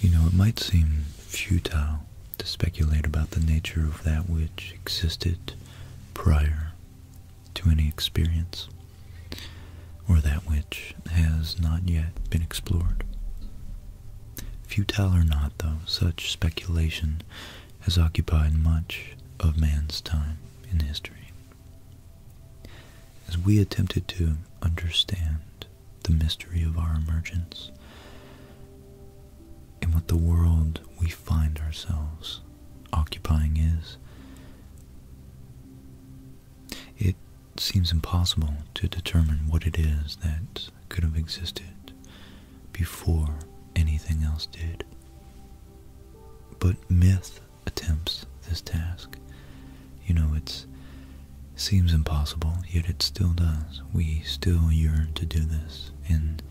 You know, it might seem futile to speculate about the nature of that which existed prior to any experience, or that which has not yet been explored. Futile or not, though, such speculation has occupied much of man's time in history. As we attempted to understand the mystery of our emergence and what the world we find ourselves occupying is, it seems impossible to determine what it is that could have existed before anything else did. But myth attempts this task. You know, it seems impossible, yet it still does. We still yearn to do this, and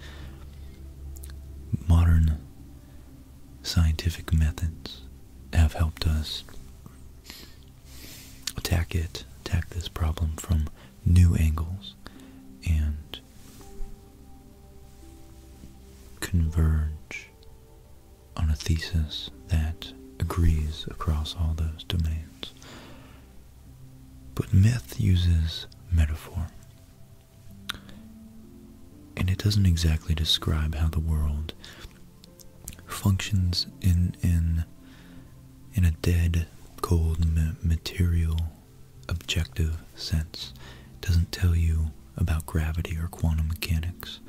modern scientific methods have helped us attack it, attack this problem from new angles, and converge on a thesis that agrees across all those domains. But myth uses metaphor. And it doesn't exactly describe how the world functions in in a dead, cold, material, objective sense. doesn't tell you about gravity or quantum mechanics,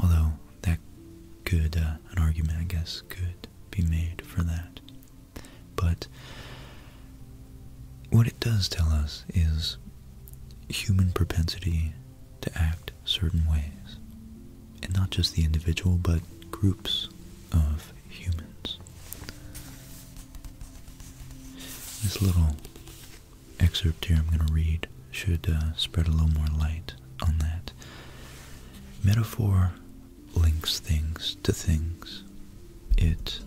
although that could, uh, an argument, I guess, could be made for that. But what it does tell us is human propensity to act certain ways, and not just the individual, but groups of humans. This little excerpt here I'm going to read should uh, spread a little more light on that. Metaphor links things to things. It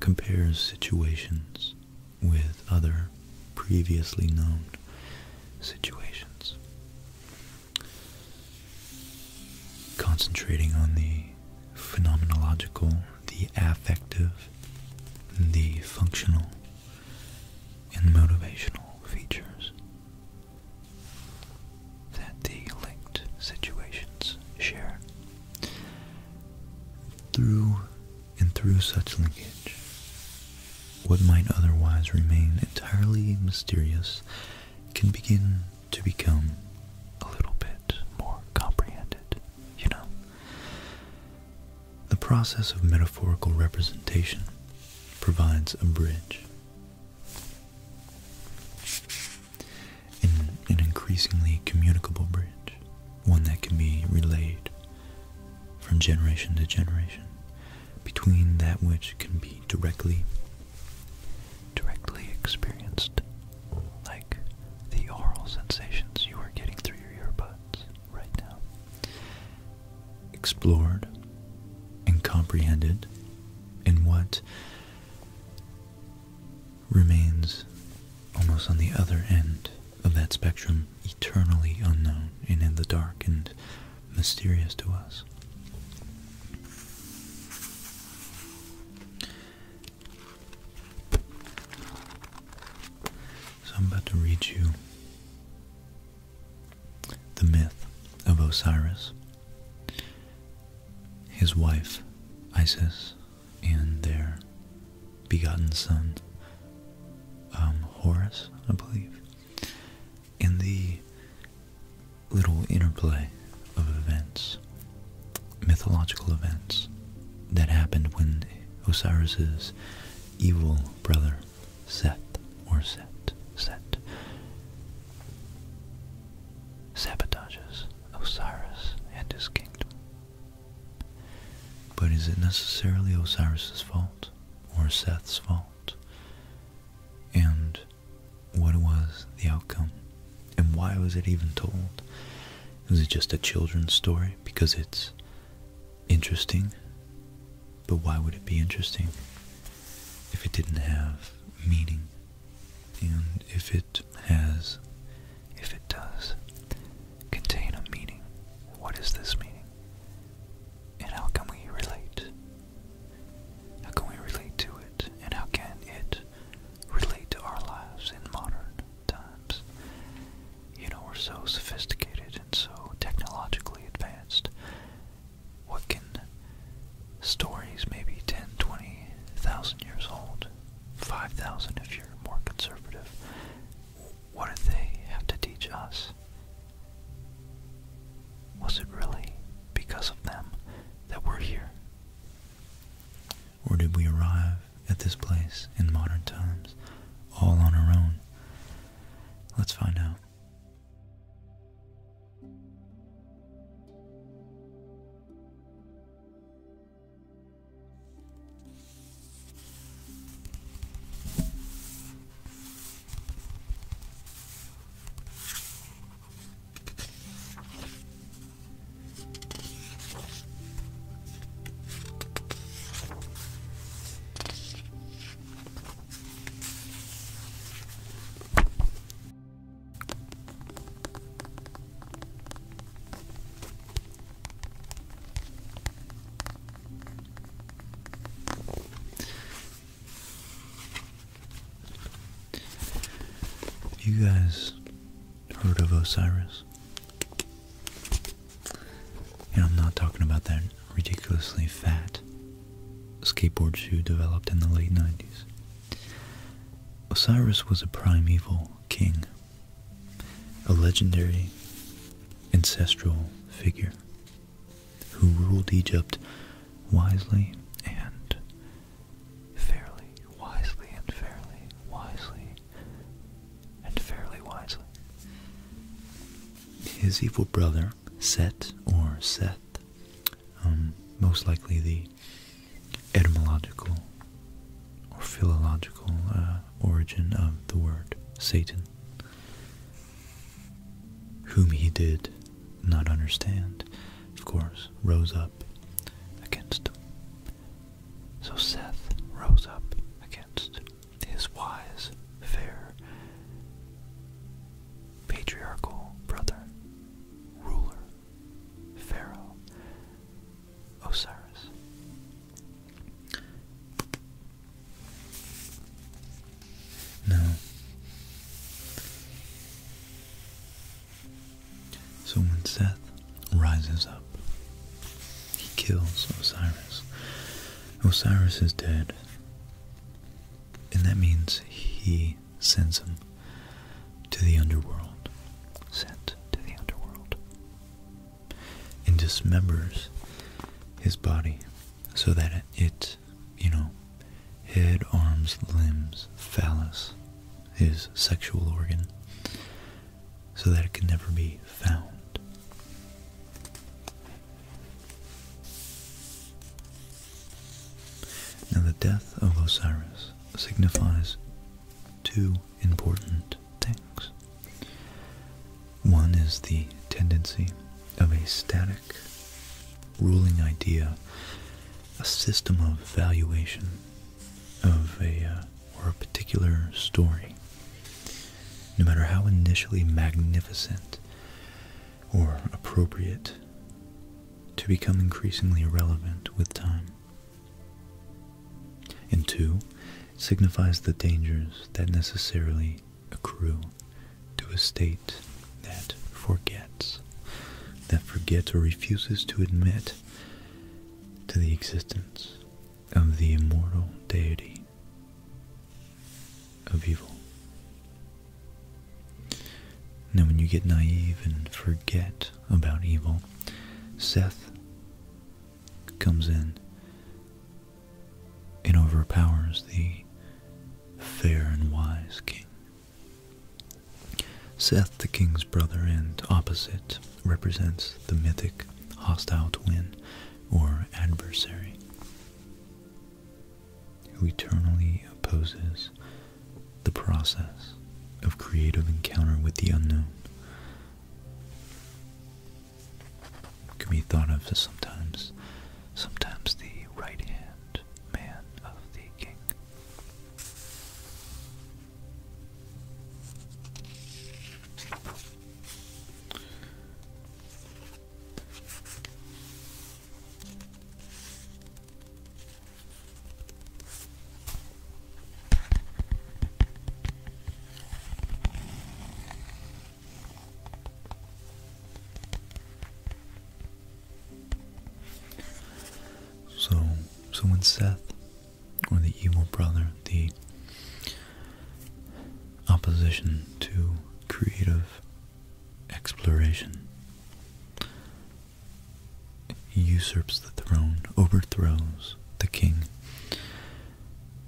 compares situations with other previously known situations. Concentrating on the phenomenological, the affective, the functional, and motivational features that the linked situations share. Through and through such linkage, what might otherwise remain entirely mysterious can begin to become a little bit more comprehended, you know? The process of metaphorical representation provides a bridge. an increasingly communicable bridge, one that can be relayed from generation to generation between that which can be directly directly experienced like the oral sensations you are getting through your earbuds right now. Explored and comprehended in what remains almost on the other end of that spectrum, eternally unknown and in the dark and mysterious to us. So I'm about to read you the myth of Osiris, his wife Isis, and their begotten son um, Horus, I believe, and the little interplay of events mythological events that happened when Osiris's evil brother Seth or Set Set sabotages Osiris and his kingdom. But is it necessarily Osiris's fault or Seth's fault? And what was the outcome? And why was it even told? Is it just a children's story? Because it's interesting. But why would it be interesting if it didn't have meaning? And if it has, if it does, contain a meaning, what is this meaning? And how can we relate? How can we relate to it? And how can it relate to our lives in modern times. You know, we're so sophisticated and so technologically advanced. What can stories maybe 10, 20,000 years old, 5,000 if you're more conservative, what did they have to teach us? Was it really because of them that we're here? Or did we arrive at this place in modern times all on our own? Let's find out. You guys heard of Osiris. And I'm not talking about that ridiculously fat skateboard shoe developed in the late 90s. Osiris was a primeval king, a legendary ancestral figure who ruled Egypt wisely and fairly, wisely and fairly, wisely and fairly wisely. His evil brother, Set or Seth, um, most likely the etymological or philological uh, origin of the word Satan, whom he did not understand, of course, rose up against him so Seth rose up against his wise, fair, patriarchal brother, ruler, Pharaoh, Osiris. Now, so when Seth rises up, he kills Osiris. Osiris is dead, and that means he sends him to the underworld, sent to the underworld, and dismembers his body so that it, you know, head, arms, limbs, phallus, his sexual organ, so that it can never be found. Now, the death of Osiris signifies two important things. One is the tendency of a static ruling idea, a system of valuation of a uh, or a particular story, no matter how initially magnificent or appropriate, to become increasingly relevant with time. And two, signifies the dangers that necessarily accrue to a state that forgets, that forgets or refuses to admit to the existence of the immortal deity of evil. Now, when you get naive and forget about evil, Seth comes in and overpowers the fair and wise king. Seth, the king's brother and opposite, represents the mythic hostile twin or adversary who eternally opposes the process of creative encounter with the unknown. can be thought of as sometimes, sometimes the right hand man of the king. So, so when Seth or the evil brother, the opposition to creative exploration. usurps the throne, overthrows the king.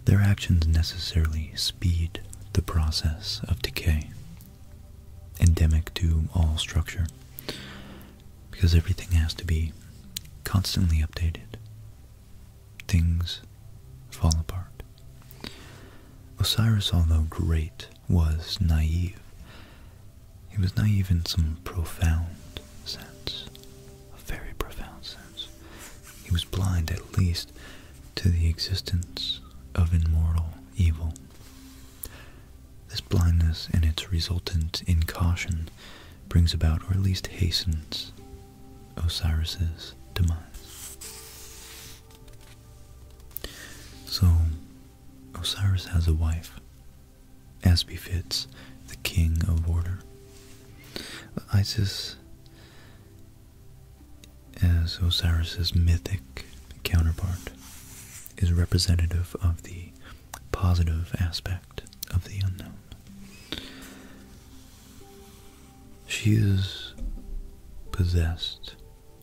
Their actions necessarily speed the process of decay, endemic to all structure because everything has to be constantly updated. Things fall apart. Osiris, although great, was naive. He was naive in some profound sense, a very profound sense. He was blind, at least, to the existence of immortal evil. This blindness and its resultant incaution brings about, or at least hastens, Osiris's demise. So, Osiris has a wife, as befits the king of order. Isis, as Osiris's mythic counterpart, is representative of the positive aspect of the unknown. She is possessed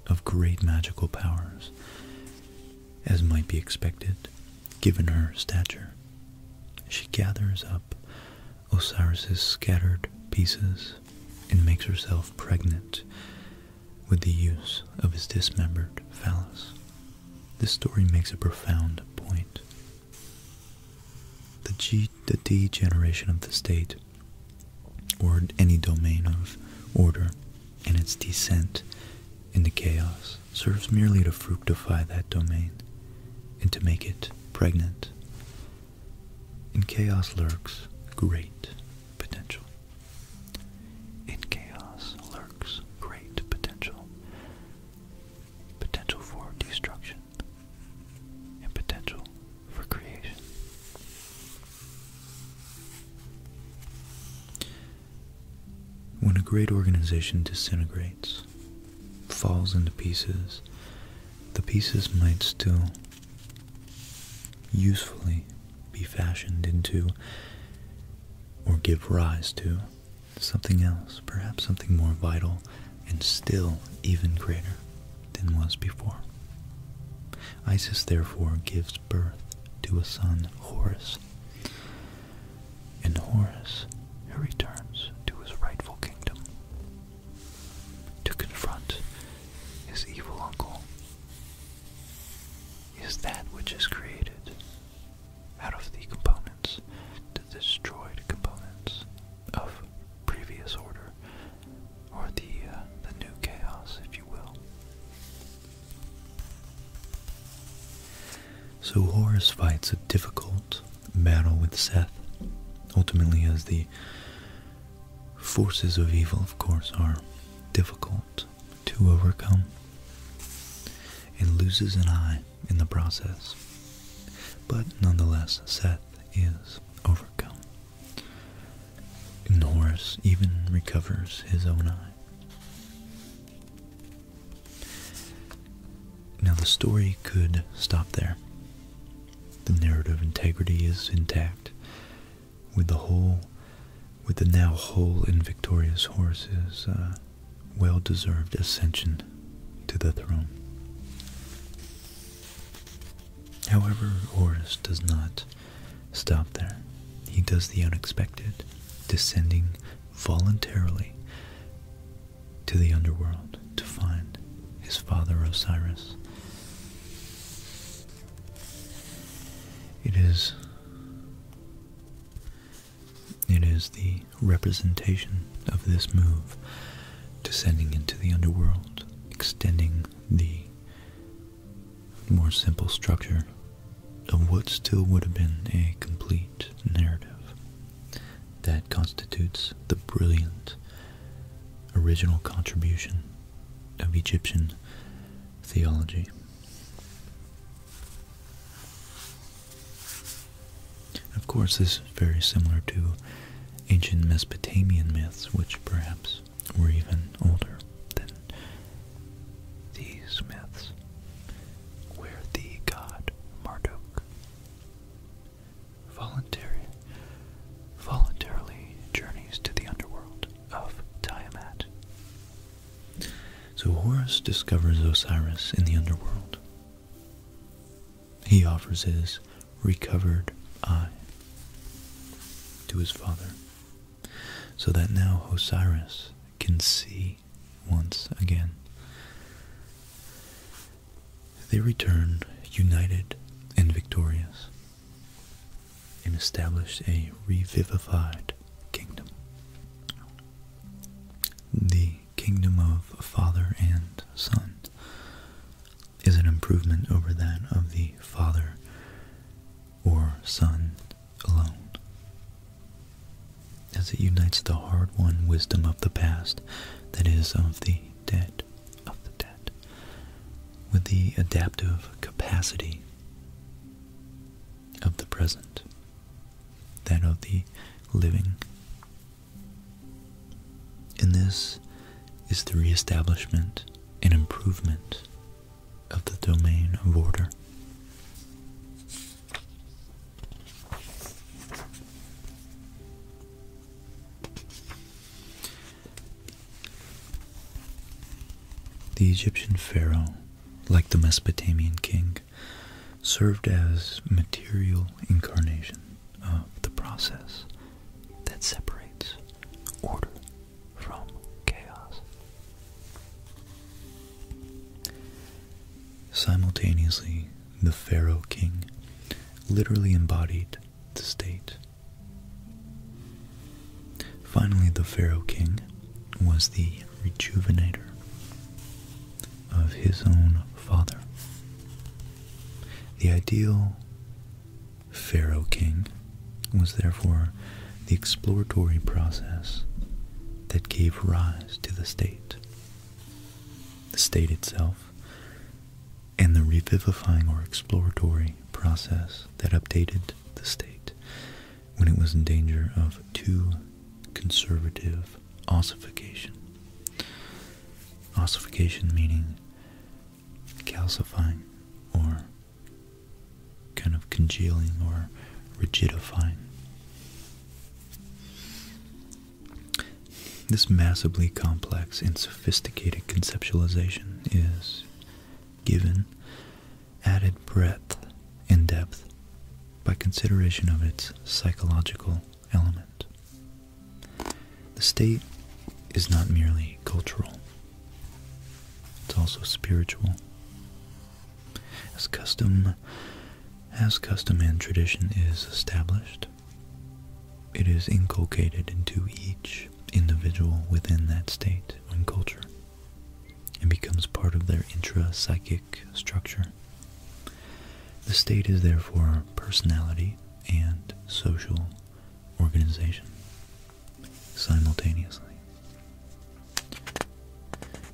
of great magical powers, as might be expected given her stature. She gathers up Osiris's scattered pieces and makes herself pregnant with the use of his dismembered phallus. This story makes a profound point the degeneration of the state, or any domain of order, in its descent into chaos serves merely to fructify that domain and to make it pregnant. In chaos lurks great potential. In chaos lurks great potential potential for destruction, and potential for creation. When a great organization disintegrates, falls into pieces, the pieces might still usefully be fashioned into or give rise to something else, perhaps something more vital and still even greater than was before. Isis therefore gives birth to a son, Horus, and Horus who returns to his rightful kingdom to confront his evil uncle. Is that which is created out of the components, the components of previous order, or the uh, the new chaos, if you will. So Horus fights a difficult battle with Seth. Ultimately, as the forces of evil, of course, are difficult to overcome, and loses an eye in the process. But nonetheless, Seth is overcome. and Norris even recovers his own eye. Now, the story could stop there. The narrative integrity is intact, with the whole, with the now whole and victorious horses is. Uh, well deserved ascension to the throne. However, Horus does not stop there. He does the unexpected, descending voluntarily to the underworld to find his father Osiris. It is it is the representation of this move, descending into the underworld, extending the more simple structure of what still would have been a complete narrative. That constitutes the brilliant original contribution of Egyptian theology. Of course, this is very similar to ancient Mesopotamian myths, which perhaps were even older than these myths, where the god Marduk voluntary, voluntarily journeys to the underworld of Tiamat. So Horus discovers Osiris in the underworld, he offers his recovered eye to his father, so that now Osiris can see once again. They return united and victorious and establish a revivified kingdom. The kingdom of Father and Son is an improvement over that of the Father or Son alone, as it unites the hard-won wisdom of the past, that is, of the dead, of the dead, with the adaptive capacity of the present that of the living. And this is the re-establishment and improvement of the domain of order. The Egyptian pharaoh, like the Mesopotamian king, served as material incarnation of the process that separates order from chaos. Simultaneously, the Pharaoh king literally embodied the state. Finally, the Pharaoh king was the rejuvenator of his own father. The ideal Pharaoh king was therefore the exploratory process that gave rise to the state. The state itself and the revivifying or exploratory process that updated the state when it was in danger of too conservative ossification. Ossification meaning calcifying or kind of congealing or rigidifying. This massively complex and sophisticated conceptualization is given added breadth and depth by consideration of its psychological element. The state is not merely cultural, it's also spiritual. As custom, as custom and tradition is established, it is inculcated into each individual within that state and culture and becomes part of their intra-psychic structure the state is therefore personality and social organization simultaneously.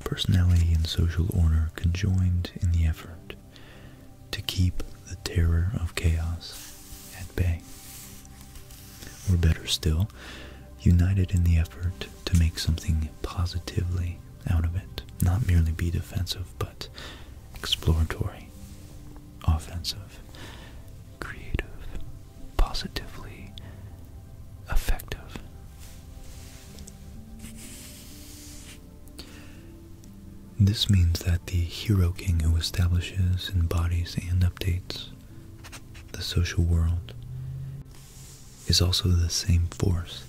Personality and social order conjoined in the effort to keep the terror of chaos at bay. Or better still, united in the effort to make something positively out of it. Not merely be defensive, but exploratory, offensive, creative, positively effective. This means that the hero king who establishes, embodies, and updates the social world is also the same force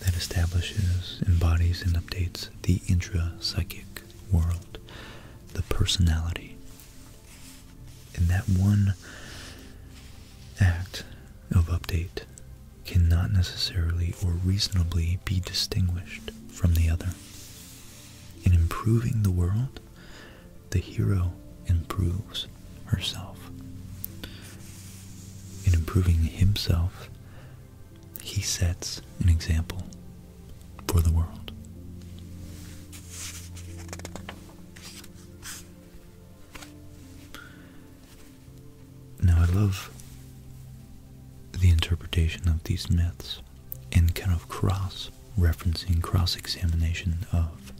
that establishes, embodies, and updates the intra-psychic world, the personality. And that one act of update cannot necessarily or reasonably be distinguished from the other. In improving the world, the hero improves herself. In improving himself, he sets an example for the world. Now, I love the interpretation of these myths and kind of cross referencing, cross examination of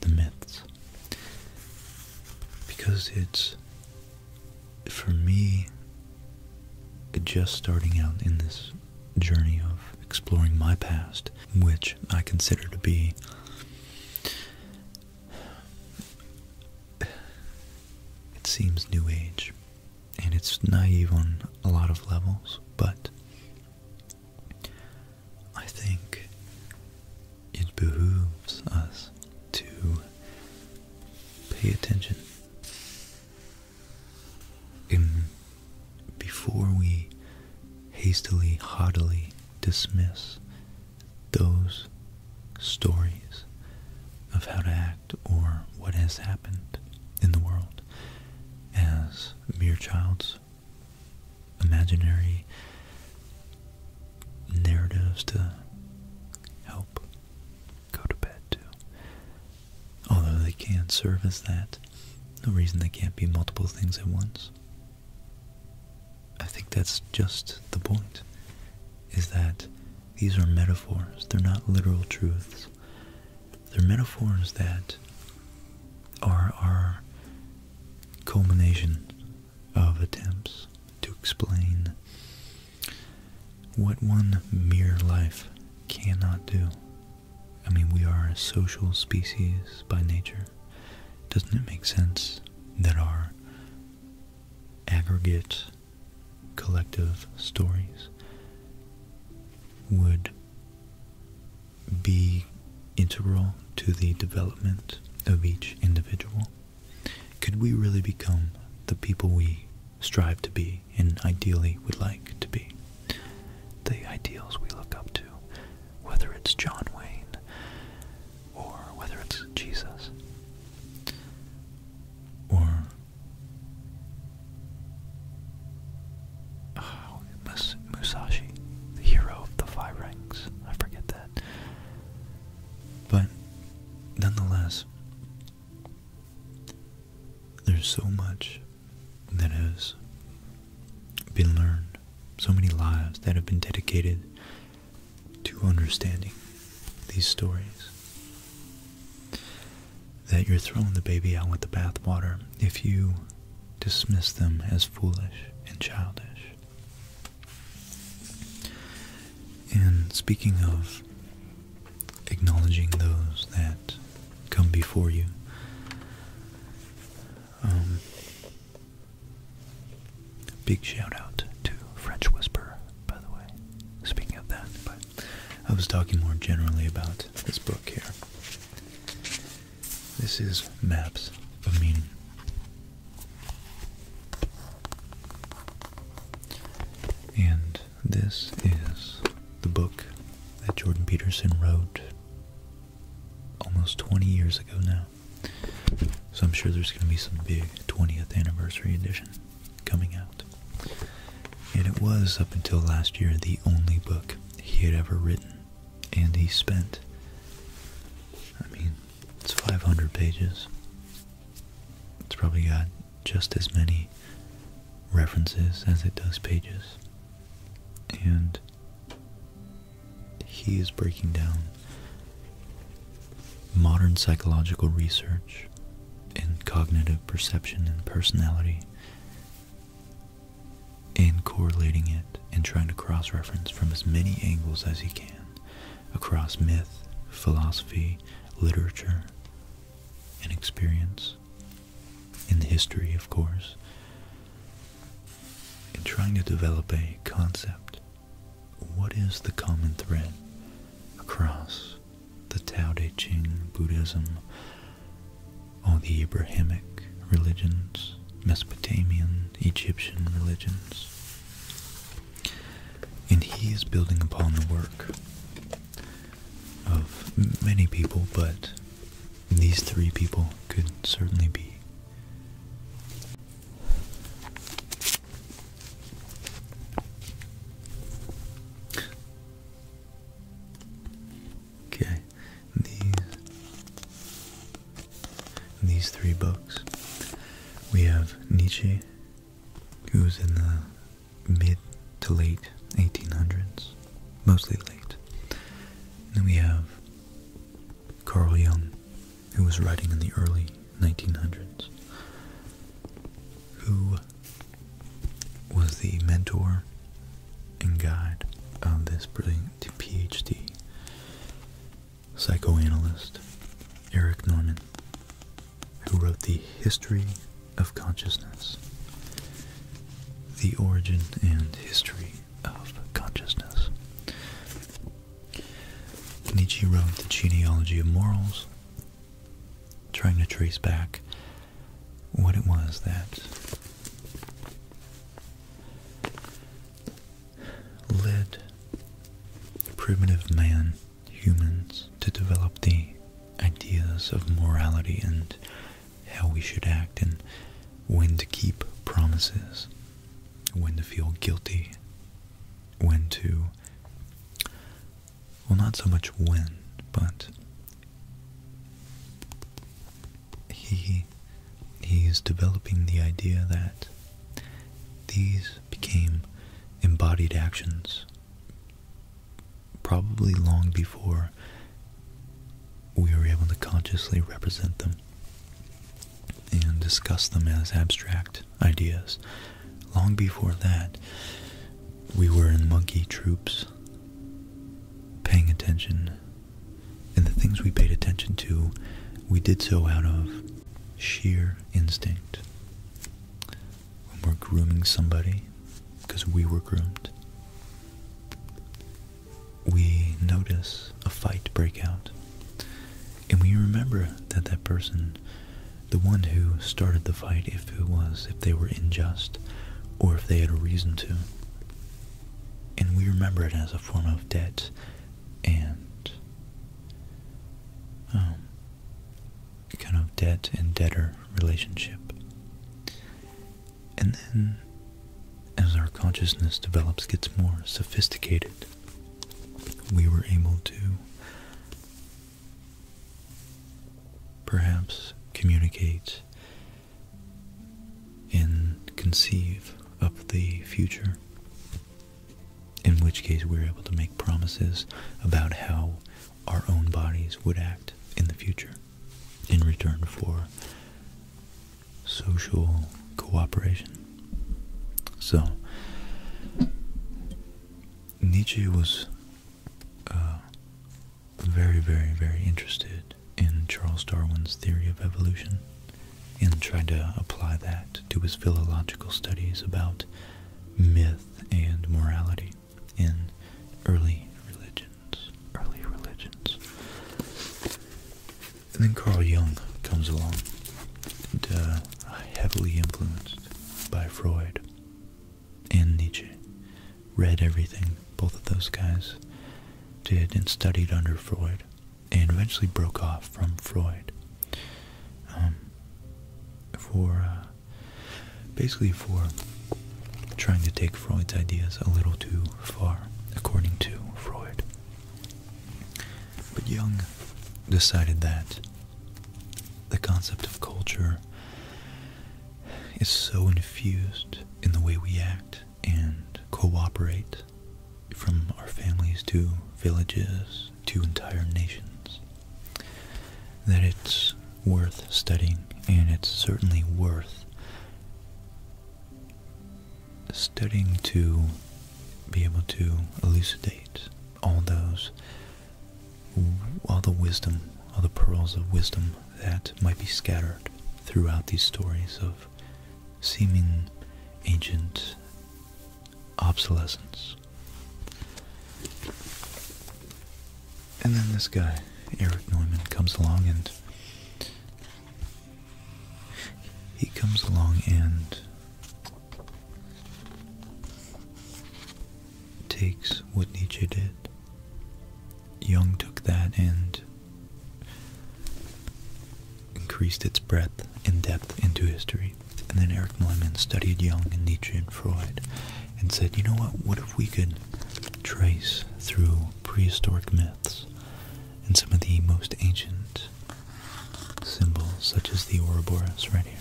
the myths because it's for me just starting out in this journey of exploring my past, which I consider to be it seems new age and it's naive on a lot of levels, but I think it behooves us to pay attention before we hastily, haughtily dismiss those stories of how to act or what has happened in the world as mere child's imaginary narratives to help go to bed to. Although they can serve as that, the reason they can't be multiple things at once. I think that's just the point, is that these are metaphors. They're not literal truths. They're metaphors that are our culmination of attempts to explain what one mere life cannot do. I mean, we are a social species by nature. Doesn't it make sense that our aggregate collective stories would be integral to the development of each individual? Could we really become the people we strive to be and ideally would like to be? The ideals we look up to, whether it's John Wayne or whether it's Jesus or oh, Musashi, the hero of the five ranks. I forget that. But nonetheless, there's so much that has been learned, so many lives that have been dedicated to understanding these stories that you're throwing the baby out with the bathwater if you dismiss them as foolish and childish. And speaking of acknowledging those that come before you, um, big shout out to French Whisper, by the way. Speaking of that, I was talking more generally about this book here. This is Maps of Meaning and this is the book that Jordan Peterson wrote almost 20 years ago now. So I'm sure there's going to be some big 20th anniversary edition coming out. And it was, up until last year, the only book he had ever written. And he spent, I mean, it's 500 pages. It's probably got just as many references as it does pages. And he is breaking down modern psychological research in cognitive perception and personality and correlating it and trying to cross reference from as many angles as he can across myth, philosophy, literature, and experience, in the history, of course, in trying to develop a concept. What is the common thread across the Tao Te Ching, Buddhism, all the Abrahamic religions, Mesopotamian, Egyptian religions. And he is building upon the work of many people, but these three people could certainly be Okay, these in these three books. We have Nietzsche, who was in the mid to late 1800s, mostly late. And then we have Karl Jung, who was writing in the early 1900s, who was the mentor and guide of this brilliant PhD psychoanalyst Eric Norman, who wrote The History of Consciousness, The Origin and History of Consciousness. Nietzsche wrote The Genealogy of Morals, trying to trace back what it was that led primitive man, humans, to develop the ideas of morality and how we should act and when to keep promises, when to feel guilty, when to, well, not so much when, but he, he is developing the idea that these became embodied actions probably long before we were able to consciously represent them and discuss them as abstract ideas. Long before that, we were in monkey troops paying attention. And the things we paid attention to, we did so out of sheer instinct. When we're grooming somebody, because we were groomed, we notice a fight break out. And we remember that that person, the one who started the fight, if it was, if they were unjust, or if they had a reason to. And we remember it as a form of debt and um, kind of debt and debtor relationship. And then, as our consciousness develops, gets more sophisticated, we were able to perhaps communicate and conceive of the future in which case we are able to make promises about how our own bodies would act in the future in return for social cooperation. So, Nietzsche was uh, very, very, very interested in Charles Darwin's theory of evolution and tried to apply that to his philological studies about myth and morality in early religions. Early religions. And then Carl Jung comes along, and, uh, heavily influenced by Freud and Nietzsche. Read everything both of those guys did and studied under Freud and eventually broke off from Freud um, for uh, basically for trying to take Freud's ideas a little too far, according to Freud. But Jung decided that the concept of culture is so infused in the way we act and cooperate from our families to villages to entire nations, that it's worth studying, and it's certainly worth studying to be able to elucidate all those, all the wisdom, all the pearls of wisdom that might be scattered throughout these stories of seeming ancient obsolescence. And then this guy, Eric Neumann, comes along and he comes along and takes what Nietzsche did. Jung took that and increased its breadth and depth into history. And then Eric Neumann studied Jung and Nietzsche and Freud and said, you know what, what if we could trace through prehistoric myths and some of the most ancient symbols, such as the Ouroboros right here,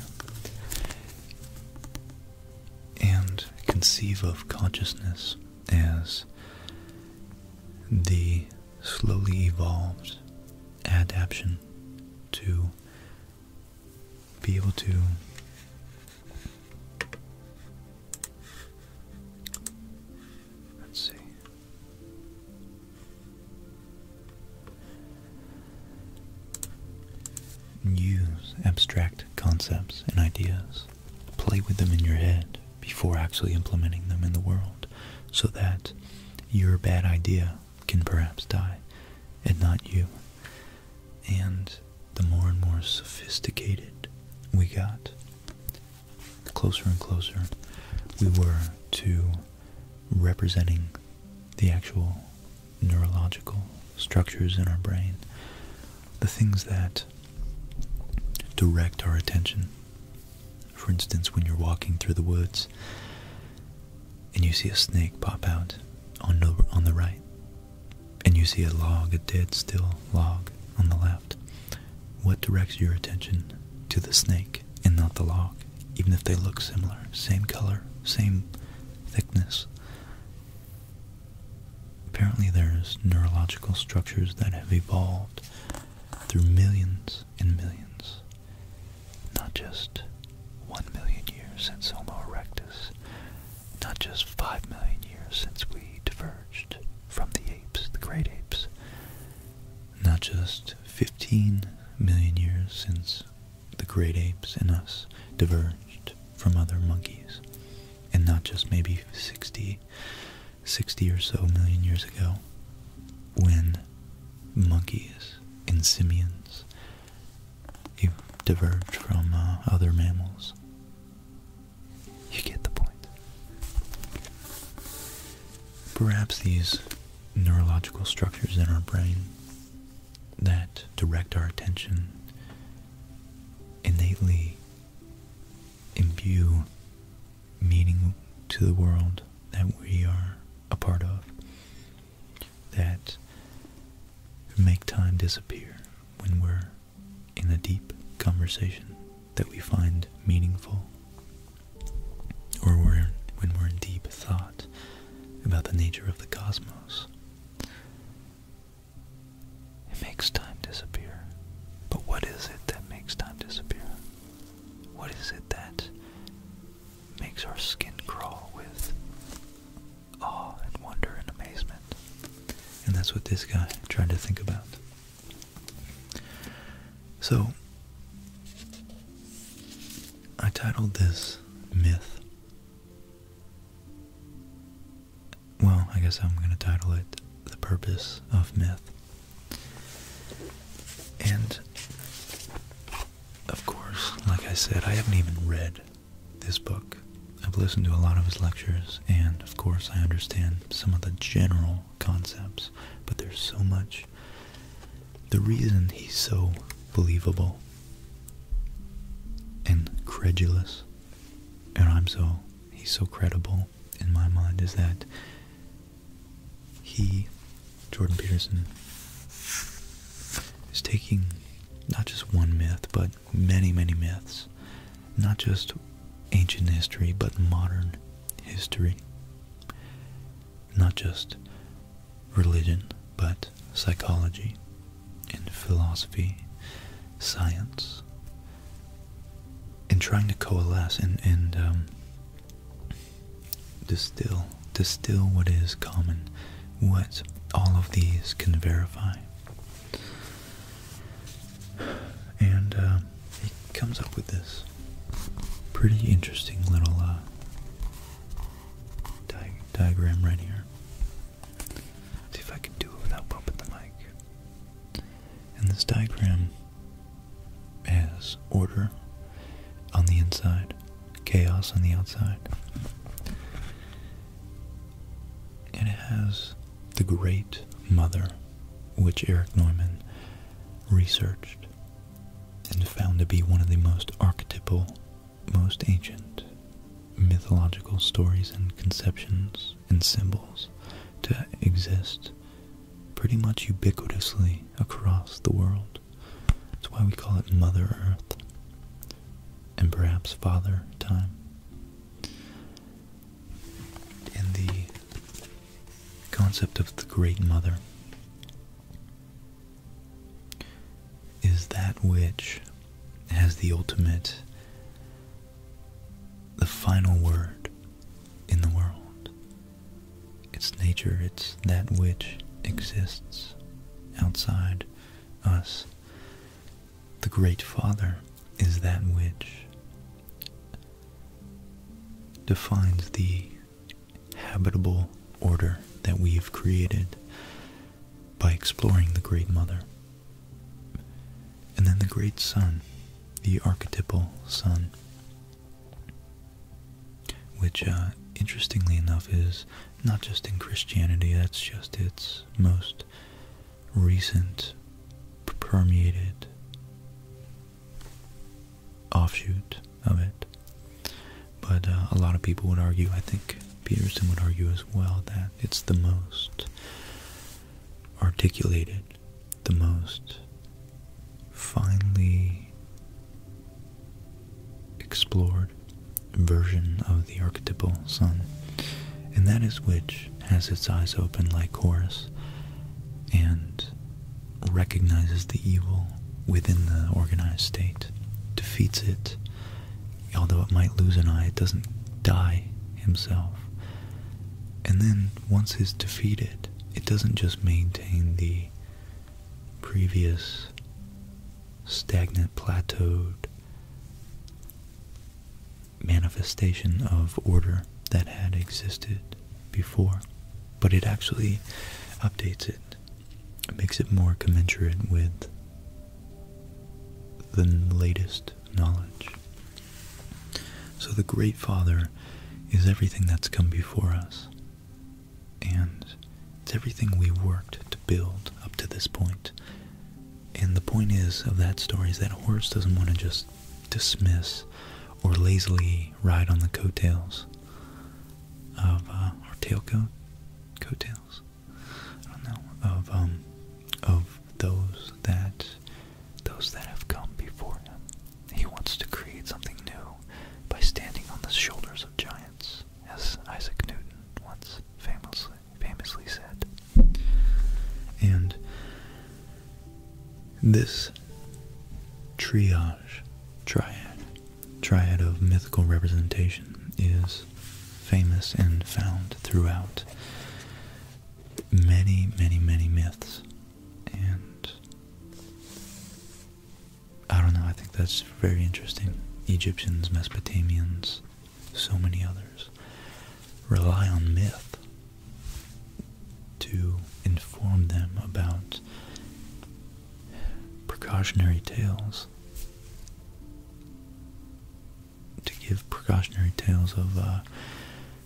and conceive of consciousness as the slowly evolved adaption to be able to let's see use abstract concepts and ideas play with them in your head before actually implementing them in the world so that your bad idea can perhaps die, and not you. And the more and more sophisticated we got, closer and closer we were to representing the actual neurological structures in our brain, the things that direct our attention for instance, when you're walking through the woods and you see a snake pop out on the, on the right, and you see a log, a dead still log on the left, what directs your attention to the snake and not the log, even if they look similar, same color, same thickness? Apparently, there's neurological structures that have evolved through millions millions millions, not just 1 million years since Homo erectus, not just 5 million years since we diverged from the apes, the great apes, not just 15 million years since the great apes and us diverged from other monkeys, and not just maybe 60, 60 or so million years ago when monkeys and simians. You diverge from uh, other mammals. You get the point. Perhaps these neurological structures in our brain that direct our attention innately imbue meaning to the world that we are a part of that make time disappear when we're in a deep conversation that we find meaningful or when we're in deep thought about the nature of the cosmos. It makes time disappear. But what is it that makes time disappear? What is it that makes our skin crawl with awe and wonder and amazement. And that's what this guy tried to think about. So, I titled this Myth. Well, I guess I'm going to title it The Purpose of Myth. And of course, like I said, I haven't even read this book. I've listened to a lot of his lectures, and of course, I understand some of the general concepts, but there's so much. The reason he's so believable and credulous, and I'm so, he's so credible in my mind, is that he, Jordan Peterson, is taking not just one myth, but many, many myths, not just ancient history, but modern history, not just religion, but psychology and philosophy, science, and trying to coalesce and, um, distill distill what is common, what all of these can verify. And uh, he comes up with this pretty interesting little uh, diagram right here. Let's see if I can do it without bumping the mic. And this diagram as order on the inside, chaos on the outside. And it has the Great Mother, which Eric Norman researched and found to be one of the most archetypal, most ancient mythological stories and conceptions and symbols to exist pretty much ubiquitously across the world. That's why we call it Mother Earth and perhaps Father Time. And the concept of the Great Mother is that which has the ultimate, the final word in the world. It's nature, it's that which exists outside us. The Great Father is that which defines the habitable order that we've created by exploring the Great Mother. And then the Great Son, the archetypal Son, which uh, interestingly enough is not just in Christianity, that's just its most recent permeated offshoot of it. But uh, a lot of people would argue, I think Peterson would argue as well, that it's the most articulated, the most finely explored version of the archetypal sun, and that is which has its eyes open like Horus and recognizes the evil within the organized state, defeats it, although it might lose an eye, it doesn't die himself. And then once it's defeated, it doesn't just maintain the previous stagnant, plateaued manifestation of order that had existed before. But it actually updates it, makes it more commensurate with the latest knowledge. So the Great Father is everything that's come before us. And it's everything we worked to build up to this point. And the point is of that story is that a horse doesn't want to just dismiss or lazily ride on the coattails of uh, our or tailcoat coattails. I don't know of um, of those that those that have come before him. He wants to create something new by standing on the shoulders of giants, as Isaac Newton once famously, famously said. And this triage, triad, triad of mythical representation is famous and found throughout many, many, many myths. And I don't know, I think that's very interesting. Egyptians, Mesopotamians, so many others rely on myth to inform them about precautionary tales. To give precautionary tales of uh,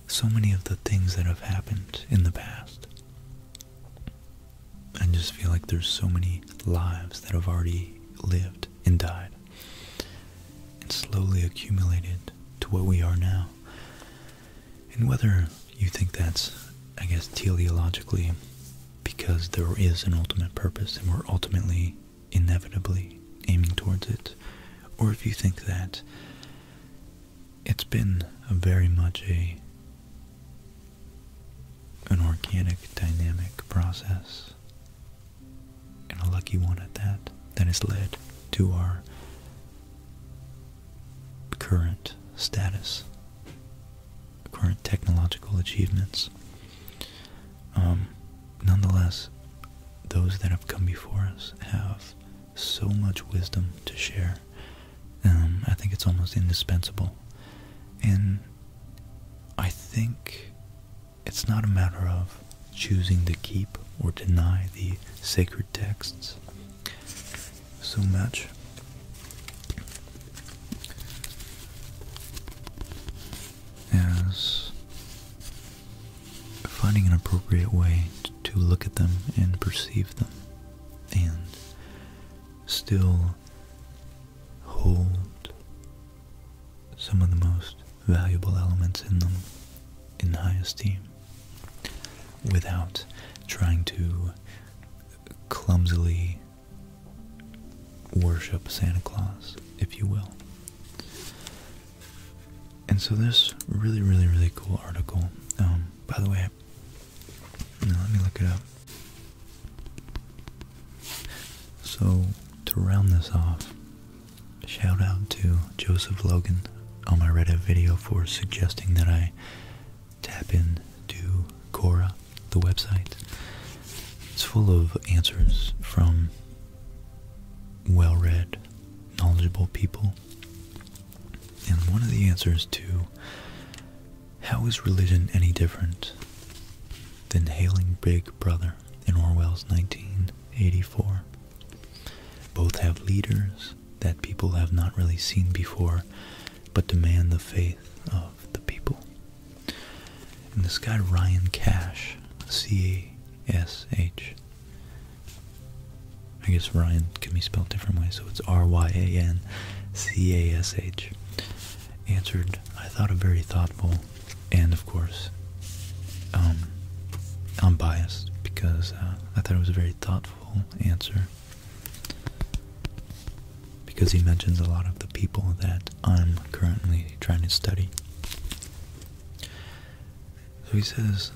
so many of the things that have happened in the past. I just feel like there's so many lives that have already lived and died and slowly accumulated to what we are now. And whether you think that's, I guess, teleologically, because there is an ultimate purpose and we're ultimately, inevitably, aiming towards it, or if you think that it's been a very much a an organic, dynamic process, and a lucky one at that, that has led to our current status, current technological achievements. Um, nonetheless, those that have come before us have so much wisdom to share um, I think it's almost indispensable. And I think it's not a matter of choosing to keep or deny the sacred texts so much. As finding an appropriate way to look at them and perceive them, and still hold some of the most valuable elements in them in high esteem without trying to clumsily worship Santa Claus, if you will. And so this really, really, really cool article. Um, by the way, let me look it up. So, to round this off, shout out to Joseph Logan. on oh, my Reddit video for suggesting that I tap into Cora, the website. It's full of answers from well read, knowledgeable people. And one of the answers to how is religion any different than hailing Big Brother in Orwell's 1984? Both have leaders that people have not really seen before, but demand the faith of the people. And this guy Ryan Cash, C A S H, I guess Ryan can be spelled different ways, so it's R Y A N C A S H. Answered, I thought, a very thoughtful and, of course, um, I'm biased because uh, I thought it was a very thoughtful answer. Because he mentions a lot of the people that I'm currently trying to study. So he says,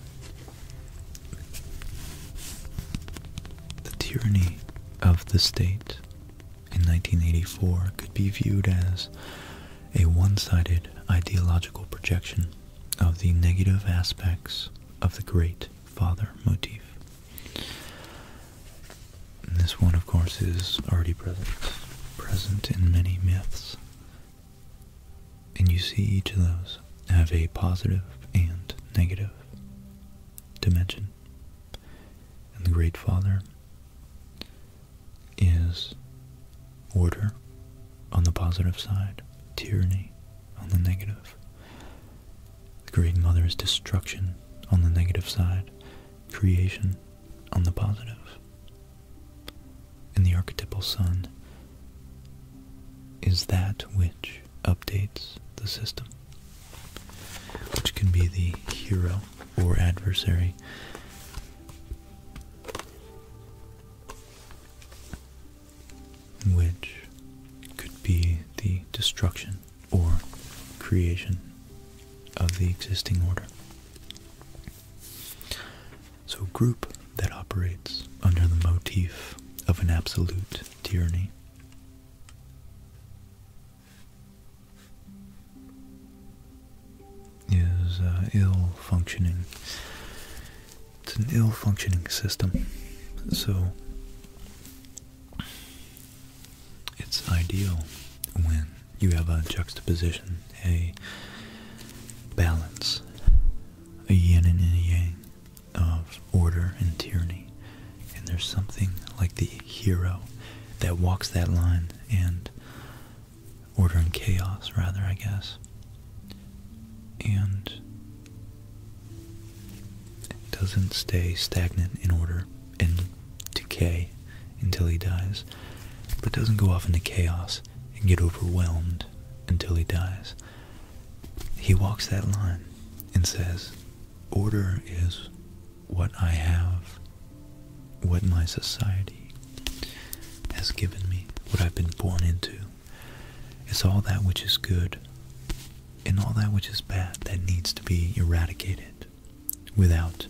the tyranny of the state in 1984 could be viewed as a one-sided ideological projection of the negative aspects of the Great Father motif. this one, of course, is already present, present in many myths. And you see each of those have a positive and negative dimension. And the Great Father is order on the positive side, tyranny on the negative. The Great Mother is destruction on the negative side, creation on the positive. And the archetypal Son is that which updates the system, which can be the hero or adversary. Which could be the destruction or creation of the existing order. So, group that operates under the motif of an absolute tyranny is uh, ill functioning. It's an ill functioning system, so it's ideal when you have a juxtaposition, a balance, a yin and a yang of order and tyranny. And there's something like the hero that walks that line and order and chaos, rather, I guess. And it doesn't stay stagnant in order and decay until he dies, but doesn't go off into chaos and get overwhelmed until he dies. He walks that line and says, Order is what I have, what my society has given me, what I've been born into. It's all that which is good and all that which is bad that needs to be eradicated without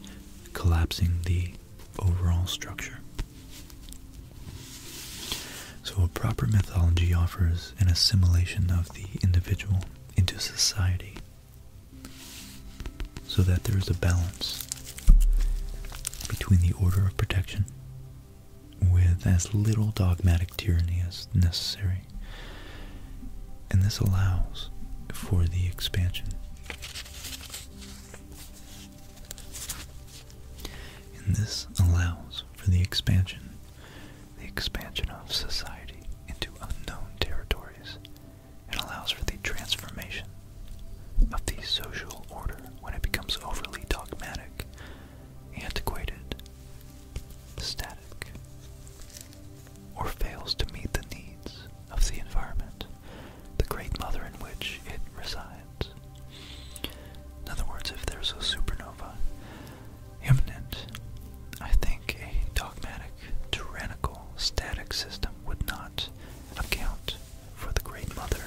collapsing the overall structure. So, a proper mythology offers is an assimilation of the individual into society so that there is a balance between the order of protection with as little dogmatic tyranny as necessary. And this allows for the expansion. And this allows for the expansion the expansion of society into unknown territories, and allows for the transformation of the social order when it becomes overly dogmatic, antiquated, static, or fails to meet the needs of the environment, the great mother in which it resides. In other words, if there's a supernova, imminent. I think a dogmatic, tyrannical, static system would not account for the Great Mother.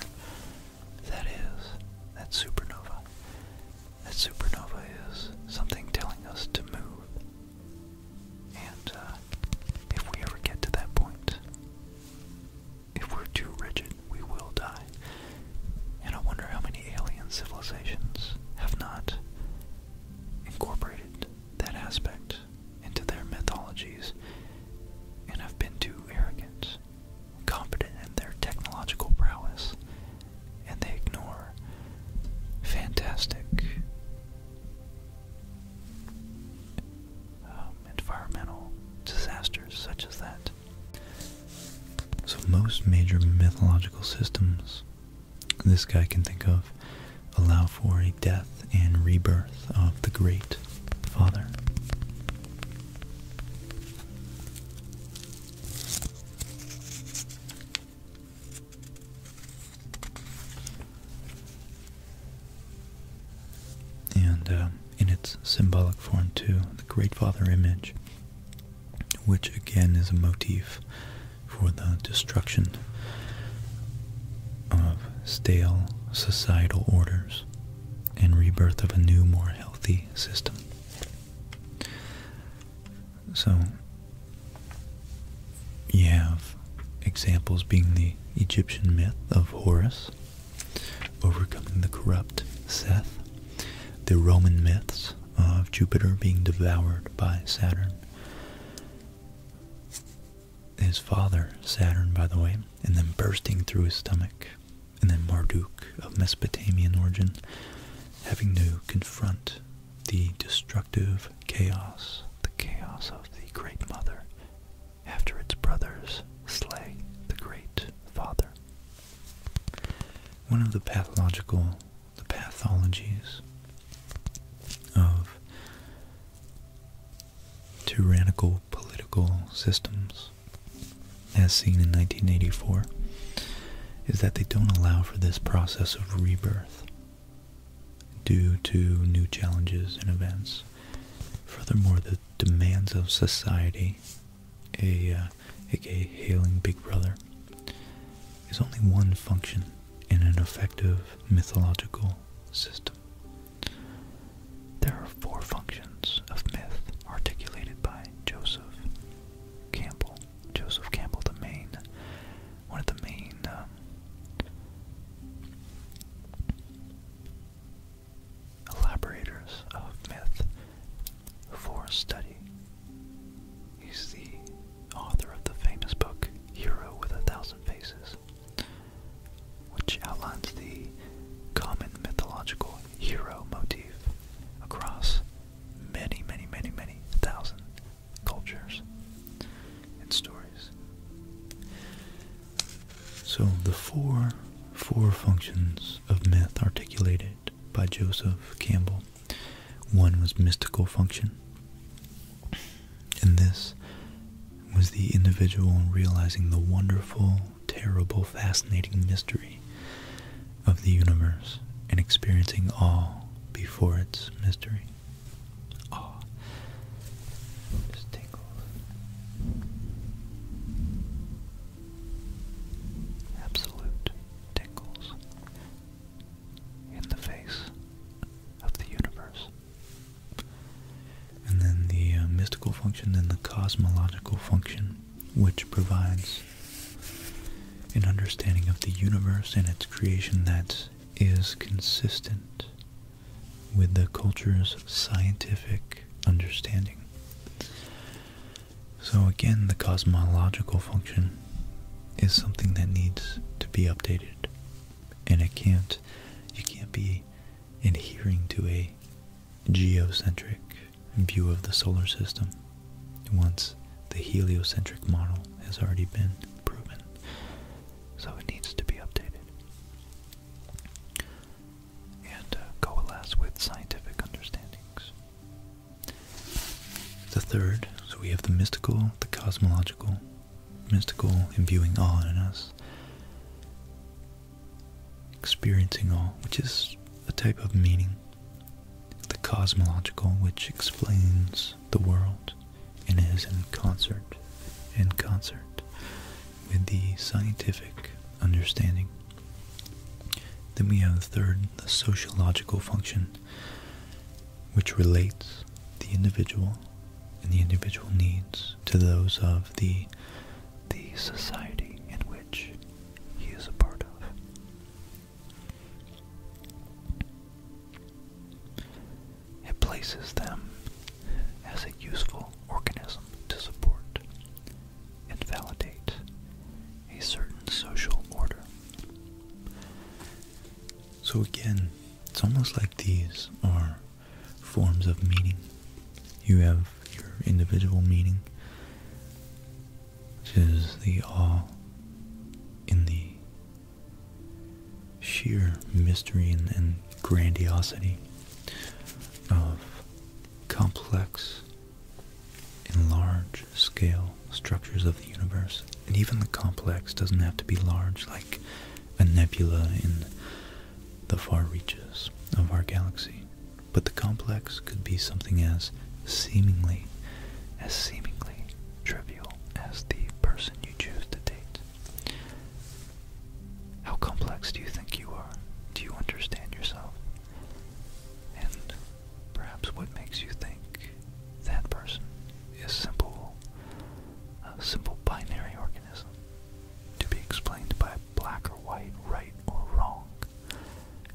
That is, that supernova. That supernova is something telling us to move. And uh, if we ever get to that point, if we're too rigid, we will die. And I wonder how many alien civilizations have not incorporated that aspect into their mythologies and have been too arrogant, competent in their technological prowess, and they ignore fantastic um, environmental disasters such as that. So, most major mythological systems this guy can think of allow for a death and rebirth of the Great Father. And uh, in its symbolic form, too, the Great Father image which again is a motif for the destruction of stale societal orders and rebirth of a new, more healthy system. So, you have examples being the Egyptian myth of Horus overcoming the corrupt Seth, the Roman myths of Jupiter being devoured by Saturn. His father, Saturn, by the way, and then bursting through his stomach, and then Marduk of Mesopotamian origin, having to confront the destructive chaos, the chaos of the Great Mother, after its brothers slay the Great Father. One of the pathological the pathologies of tyrannical political systems, as seen in 1984, is that they don't allow for this process of rebirth due to new challenges and events. Furthermore, the demands of society a, uh, hailing Big Brother, is only one function in an effective mythological system. There are four functions of myth articulated by Joseph Campbell. Joseph Campbell, the main, one of the main, um, elaborators of myth for study He's the author of the famous book Hero with a Thousand Faces, which outlines the common mythological hero motif across many, many, many, many thousand cultures and stories. So the four four functions of myth articulated by Joseph Campbell one was mystical function, and this was the individual realizing the wonderful, terrible, fascinating mystery of the universe and experiencing awe before its mystery. Awe. Just tingles. Absolute tingles in the face of the universe. And then the uh, mystical function, and the cosmological function, which provides an understanding of the universe and its creation that is consistent with the culture's scientific understanding. So again, the cosmological function is something that needs to be updated, and it can't, you can't be adhering to a geocentric view of the solar system once the heliocentric model has already been proven. So it needs to be updated and uh, coalesce with scientific understandings. The third, so we have the mystical, the cosmological, mystical imbuing all in us, experiencing all, which is a type of meaning. The cosmological, which explains the world and is in concert, in concert with the scientific understanding. Then we have the third, the sociological function, which relates the individual and the individual needs to those of the the society in which he is a part of. It places them as a useful organism to support and validate a certain social order. So again, it's almost like these are forms of meaning. You have your individual meaning, which is the awe in the sheer mystery and, and grandiosity of complex in large scale structures of the universe. And even the complex doesn't have to be large like a nebula in the far reaches of our galaxy. But the complex could be something as seemingly, as seemingly trivial as the person you choose to date. How complex do you think you are? Do you understand yourself? And perhaps what makes you think that person is simple, a simple binary organism to be explained by black or white, right or wrong,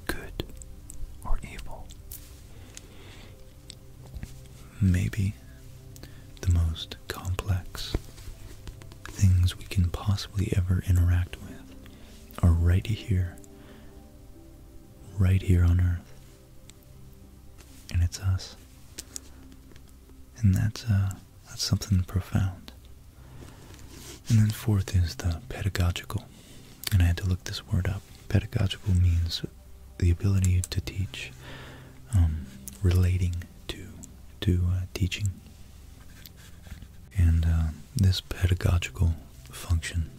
good or evil. Maybe the most complex things we can possibly ever interact with are right here right here on Earth. And it's us. And that's, uh, that's something profound. And then fourth is the pedagogical. And I had to look this word up. Pedagogical means the ability to teach, um, relating to, to uh, teaching. And uh, this pedagogical function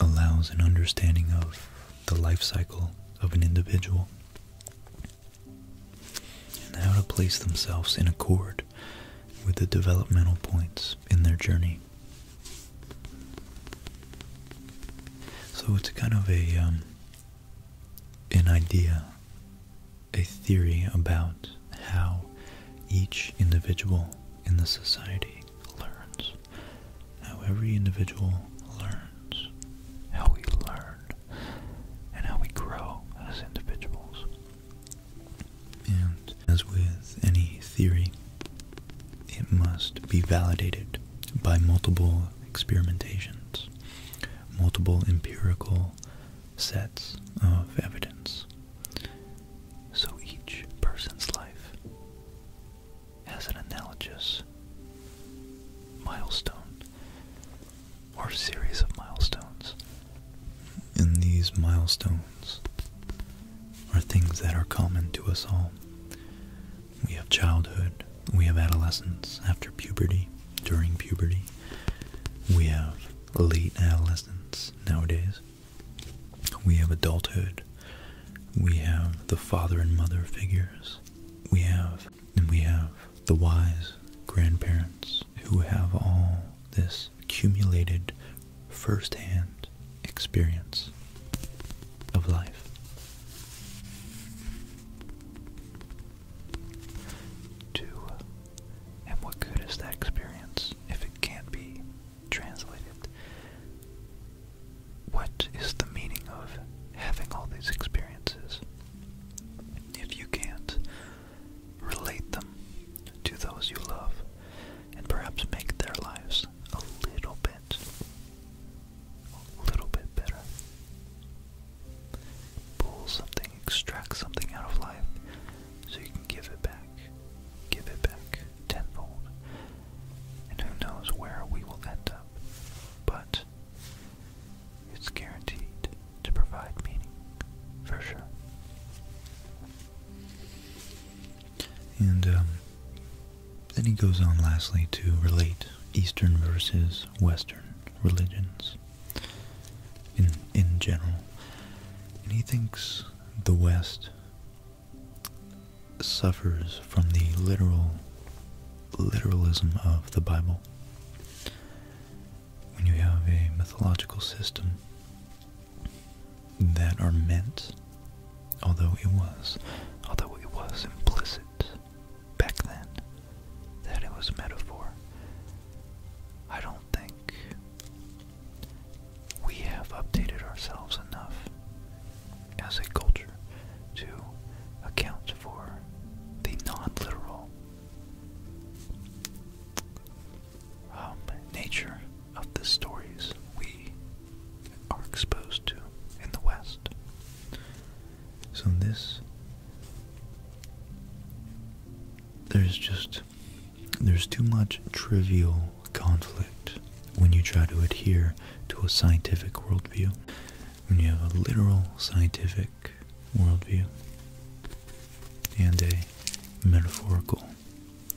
allows an understanding of the life cycle of an individual and how to place themselves in accord with the developmental points in their journey. So it's kind of a um, an idea, a theory about how each individual in the society learns. How every individual learns. How we learn. And how we grow as individuals. And as with any theory, it must be validated by multiple experimentations, multiple empirical sets of evidence. So each person's life has an analogous milestone or series of milestones. And these milestones are things that are common to us all. We have childhood, we have adolescence after puberty, during puberty, we have late adolescence nowadays, we have adulthood. We have the father and mother figures. We have, and we have the wise grandparents who have all this accumulated firsthand experience of life. Two, and what good is that experience if it can't be translated. What is the meaning of having all these experiences if you can't relate them to those you love and perhaps make their lives a little bit, a little bit better? Pull something, extract something out of life so you can give it back give it back tenfold. And who knows where we will end up, but it's guaranteed to provide meaning, for sure. And um, then he goes on lastly to relate Eastern versus Western religions in in general. And he thinks the West suffers from the literal literalism of the Bible. When you have a mythological system that are meant, although it was, although it was implicit back then that it was metaphor, I don't think we have updated ourselves enough as a culture to account for the non literal um, nature of the stories we are exposed to in the West. So, this. There's just. There's too much trivial conflict when you try to adhere to a scientific worldview, when you have a literal scientific worldview and a metaphorical,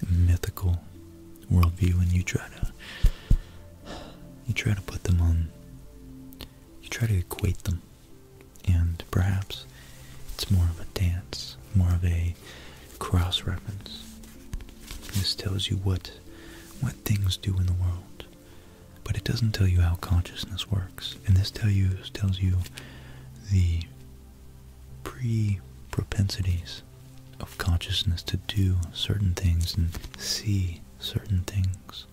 mythical worldview, and you try to you try to put them on, you try to equate them, and perhaps it's more of a dance, more of a cross reference. This tells you what what things do in the world, but it doesn't tell you how consciousness works. And this tell you tells you the pre propensities of consciousness to do certain things and see certain things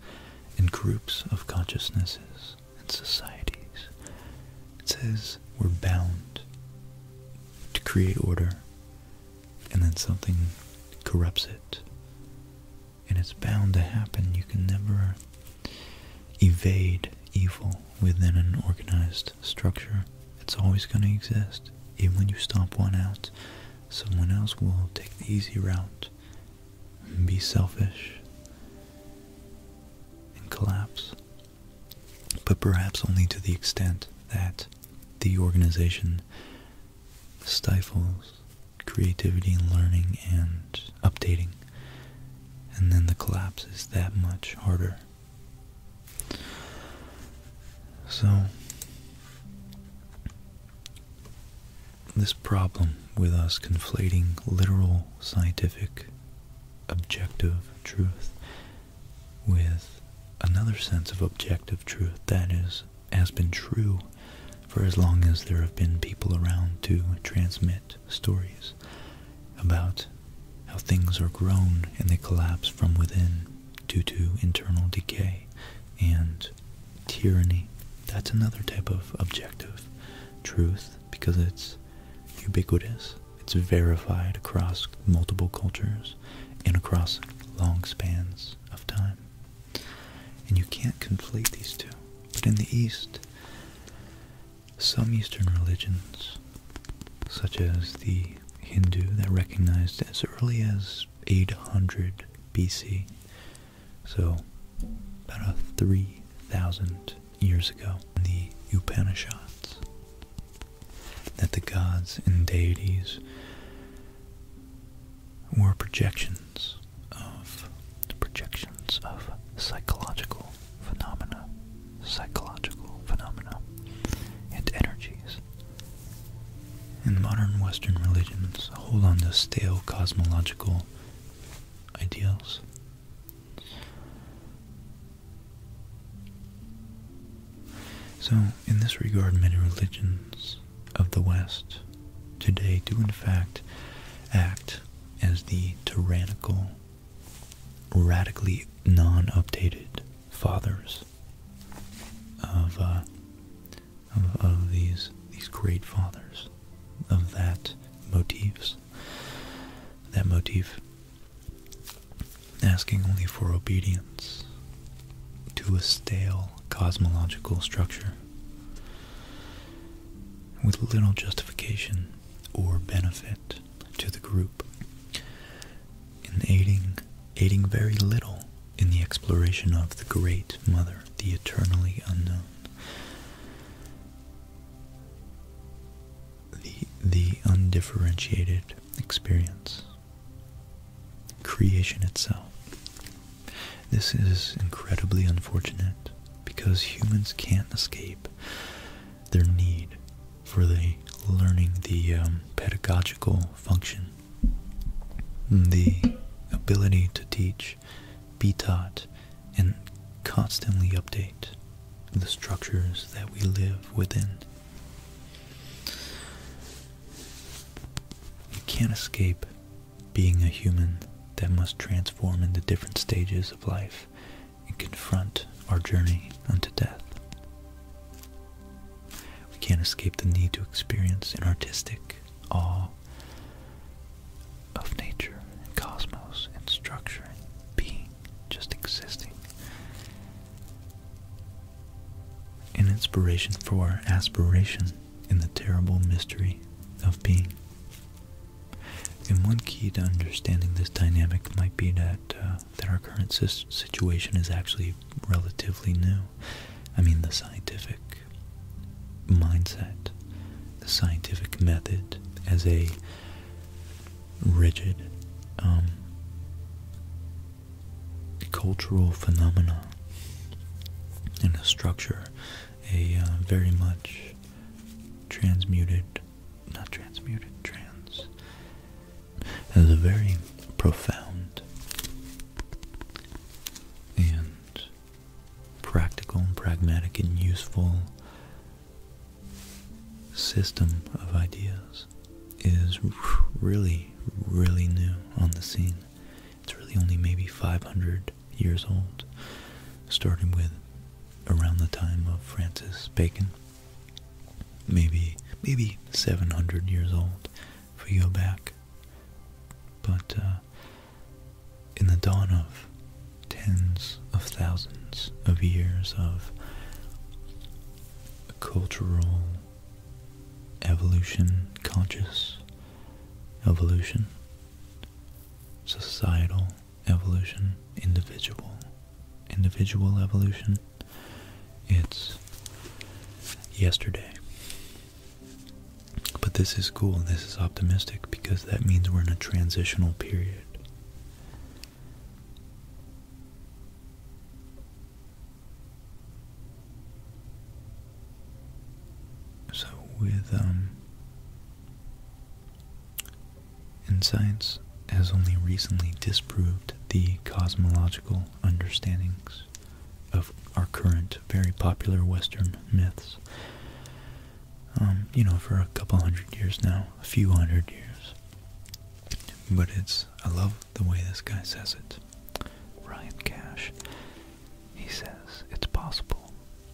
in groups of consciousnesses and societies. It says we're bound to create order and then something corrupts it. And it's bound to happen. You can never evade evil within an organized structure. It's always going to exist. Even when you stomp one out, someone else will take the easy route and be selfish and collapse but perhaps only to the extent that the organization stifles creativity and learning and updating, and then the collapse is that much harder. So, this problem with us conflating literal scientific objective truth with another sense of objective truth that is has been true for as long as there have been people around to transmit stories about how things are grown and they collapse from within due to internal decay and tyranny. That's another type of objective truth because it's ubiquitous it's verified across multiple cultures and across long spans of time. And you can't conflate these two. But in the East, some Eastern religions, such as the Hindu that recognized as early as 800 BC, so about 3,000 years ago, the Upanishads, that the gods and deities were projections of projections of psychological phenomena, psychological phenomena, and energies. And modern Western religions hold on to stale cosmological ideals. So, in this regard, many religions of the West today do, in fact, act as the tyrannical, radically non updated fathers uh, of, of these, these great fathers of that motifs that motif asking only for obedience to a stale cosmological structure with little justification or benefit to the group in aiding aiding very little in the exploration of the great mother the eternally unknown the the undifferentiated experience creation itself. This is incredibly unfortunate because humans can't escape their need for the learning, the um, pedagogical function, the ability to teach, be taught, and constantly update the structures that we live within we can't escape being a human that must transform into different stages of life and confront our journey unto death. We can't escape the need to experience an artistic awe of nature and cosmos and structure and being just existing. An inspiration for aspiration in the terrible mystery of being. And one key to understanding this dynamic might be that uh, that our current situation is actually relatively new. I mean, the scientific mindset, the scientific method as a rigid um, cultural phenomena and a structure, a uh, very much transmuted, not transmuted, trans, has a very profound and practical and pragmatic and useful system of ideas is really, really new on the scene. It's really only maybe 500 years old, starting with around the time of Francis Bacon. Maybe, maybe 700 years old if you go back. But uh, in the dawn of tens of thousands of years of cultural evolution, conscious evolution, societal evolution, individual, individual evolution. It's yesterday. But this is cool, this is optimistic because that means we're in a transitional period. So with um, insights has only recently disproved the cosmological understandings of our current very popular Western myths. Um, you know, for a couple hundred years now, a few hundred years. But it's, I love the way this guy says it. Ryan Cash. He says it's possible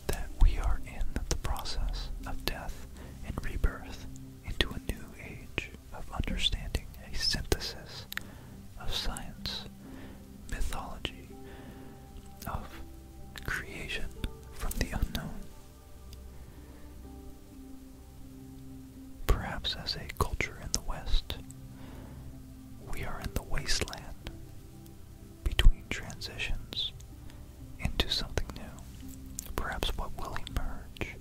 that we are in the process of death and rebirth into a new age of understanding a synthesis of science, mythology, of creation from the unknown. Perhaps as a culture in the West, we are in the wasteland between transitions into something new. Perhaps what will emerge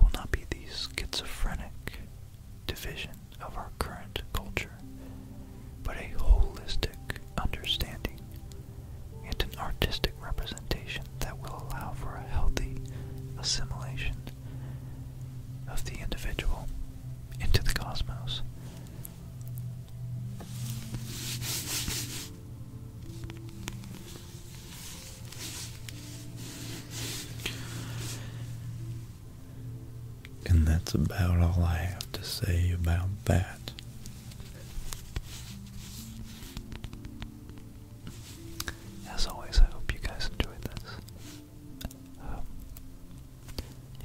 will not be these schizophrenic division of our current culture, but a holistic understanding and an artistic representation that will allow for a healthy assimilation of the individual into the cosmos. And that's about all I have to say about that. As always, I hope you guys enjoyed this. Um,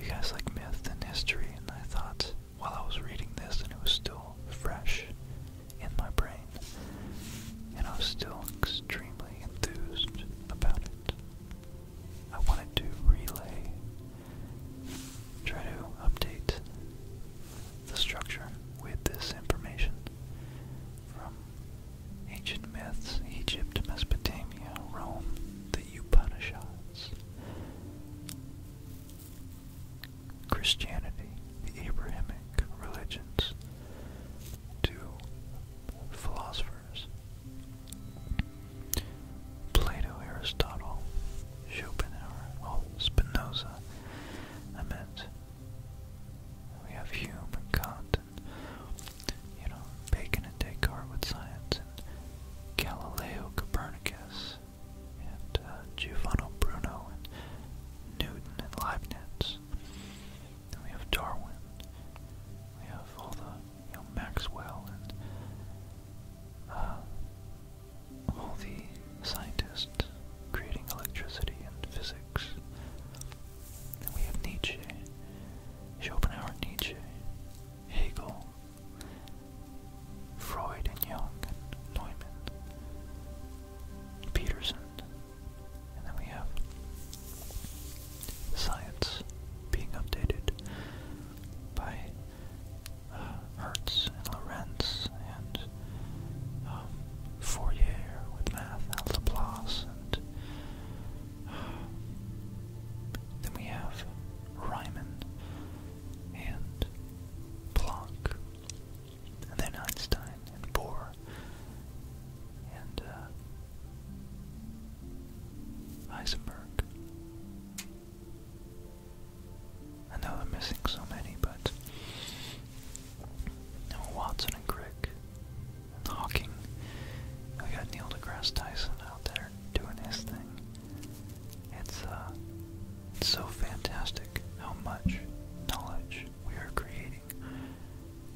you guys like myth and history, and I thought while I was reading this, and it was still fresh in my brain, and I was still extremely enthused about it. I wanted to relay, try to update the structure with this information Ancient myths, Egypt, Mesopotamia, Rome, the Upanishads. Christianity, the Abrahamic religions, to philosophers. Plato, Aristotle, Schopenhauer, Spinoza, I meant we have human content, you know, Bacon and Descartes with science and Galileo Copernicus and uh, Giovanni Bruno and Newton and Leibniz. we have Darwin. We have all the, you know, Maxwell and uh, all the scientists creating electricity and physics. Then we have Nietzsche, Schopenhauer, Nietzsche, Hegel, Freud and Jung and Neumann, Peterson, and then we have science being updated by uh, Hertz and Lorenz and um, Fourier with math Laplace, and uh, then we have Riemann and Planck, and then Einstein and Bohr, and uh, Heisenberg. I know I'm missing so many, but no Watson and Crick Hawking. We got Neil deGrasse Tyson out there doing his thing. It's uh it's so fantastic how much knowledge we are creating.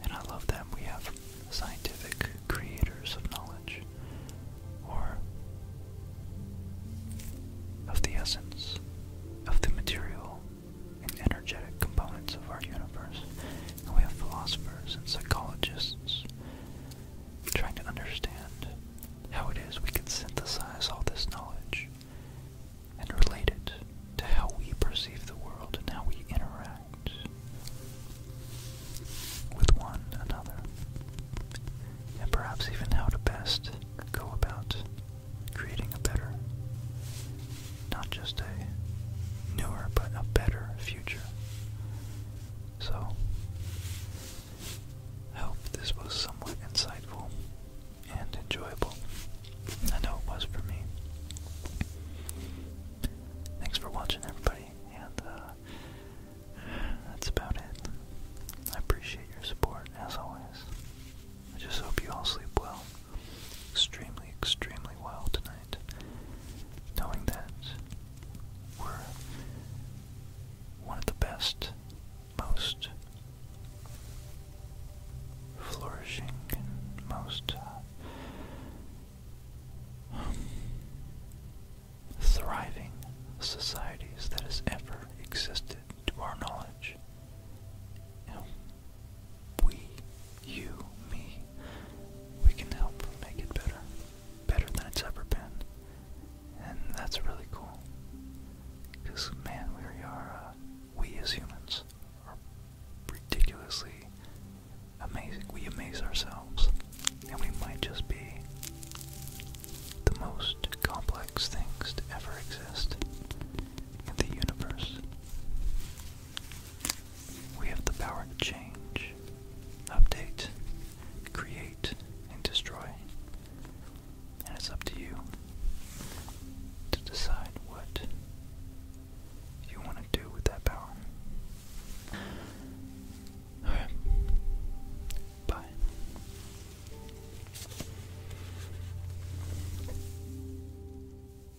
And I love that we have scientific creators of knowledge or of the essence of the material and energetic components of our universe. And we have philosophers and psychologists trying to understand how it is we can synthesize all this knowledge and relate it to how we perceive the world and how we interact with one another, and perhaps even how to best go about creating a better, not just a newer, but a better future. So, I hope this was somewhat insightful and enjoyable. I know it was for me. Thanks for watching, everybody, and uh, that's about it. I appreciate your support, as always. I just hope you all sleep well extremely, extremely well tonight. Knowing that we're one of the best, most flourishing, most uh, thriving societies that has ever existed to our knowledge we, you, me, we can help make it better, better than it's ever been, and that's really cool. Because man, we are, uh, we as humans are ridiculously amazing. We amaze ourselves, and we might just be the most complex things to ever exist in the universe. We have the power to change, update, create, and destroy. And it's up to you to decide what you want to do with that power. Alright. Bye.